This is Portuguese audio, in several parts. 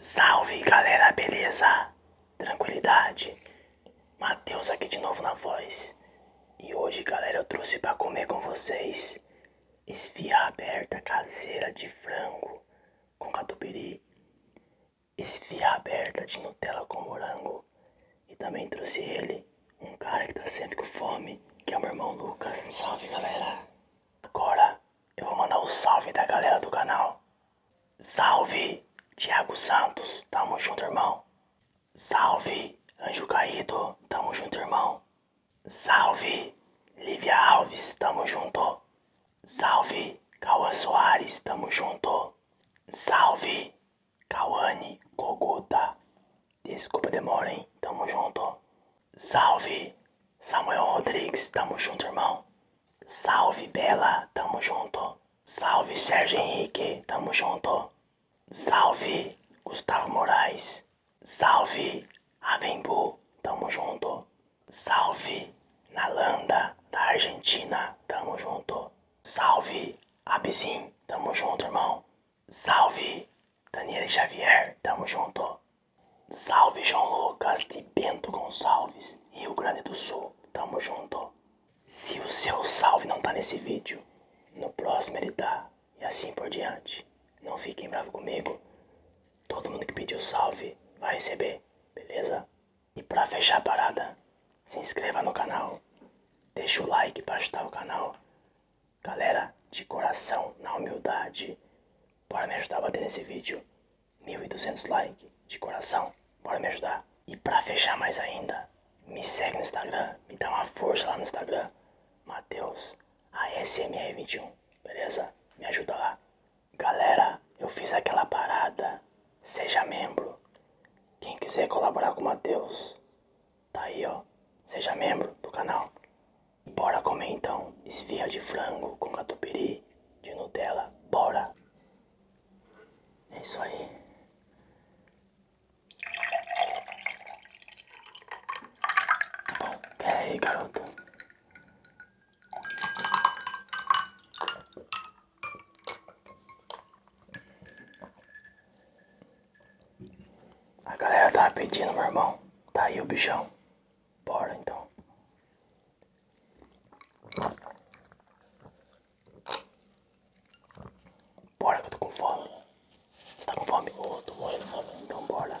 Salve galera, beleza? Tranquilidade? Matheus aqui de novo na voz. E hoje, galera, eu trouxe para comer com vocês esfirra aberta caseira de frango com catupiry, esfirra aberta de Nutella com morango. E também trouxe ele, um cara que tá sempre com fome, que é o meu irmão Lucas. Salve galera! Agora eu vou mandar o salve da galera do canal. Salve Tiago Santos, tamo junto irmão. Salve Anjo Caído, tamo junto irmão. Salve, Lívia Alves, tamo junto. Salve, Cauã Soares, tamo junto. Salve, Cauane Koguta. Desculpa demora, hein? Tamo junto. Salve, Samuel Rodrigues, tamo junto, irmão. Salve, Bela, tamo junto. Salve, Sérgio Henrique, tamo junto. Salve, Gustavo Moraes. Salve Avembu, tamo junto. Salve Nalanda da Argentina, tamo junto. Salve Abizim, tamo junto, irmão. Salve Daniel Xavier, tamo junto. Salve João Lucas de Bento Gonçalves, Rio Grande do Sul, tamo junto. Se o seu salve não tá nesse vídeo, no próximo ele tá, e assim por diante. Não fiquem bravos comigo, Todo mundo que pediu salve vai receber, beleza? E pra fechar a parada, se inscreva no canal, deixa o like pra ajudar o canal. Galera, de coração, na humildade, bora me ajudar a bater nesse vídeo. mil e duzentos likes, de coração, bora me ajudar. E pra fechar mais ainda, me segue no Instagram, me dá uma força lá no Instagram. Mateus a SMR21, beleza? Me ajuda lá. Galera, eu fiz aquela parada. Seja membro. Quem quiser colaborar com o Matheus, tá aí ó. Seja membro do canal. Bora comer então. Esfia de frango com catupiry de Nutella. Bora! É isso aí. Tá bom, pera aí, garoto. A galera tava pedindo, meu irmão. Tá aí o bichão. Bora então. Bora que eu tô com fome. Você tá com fome? Oh, tô morrendo de fome. Então bora.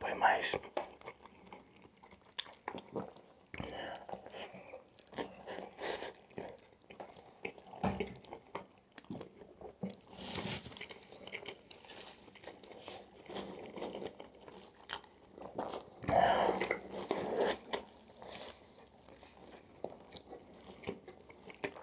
Foi mais.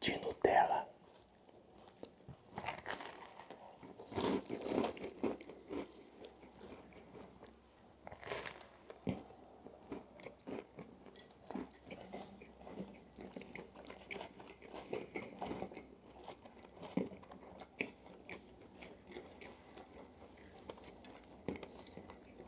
de Nutella.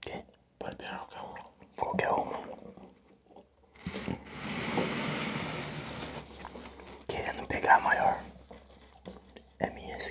Que? Pode pegar qualquer uma. Querendo pegar maior. É minha essa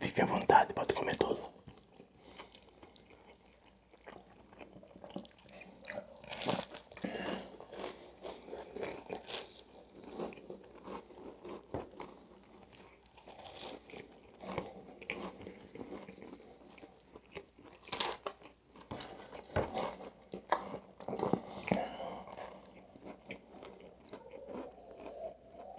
Fique à vontade, pode comer tudo.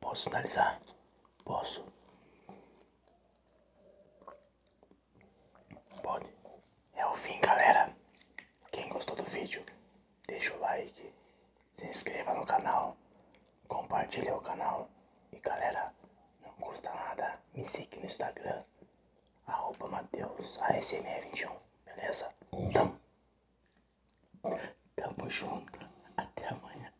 Posso analisar? Posso. Bom, é o fim, galera. Quem gostou do vídeo, deixa o like, se inscreva no canal, compartilha o canal. E galera, não custa nada, me siga no Instagram, arroba Mateus ASMR21, beleza? Então, tamo junto, até amanhã.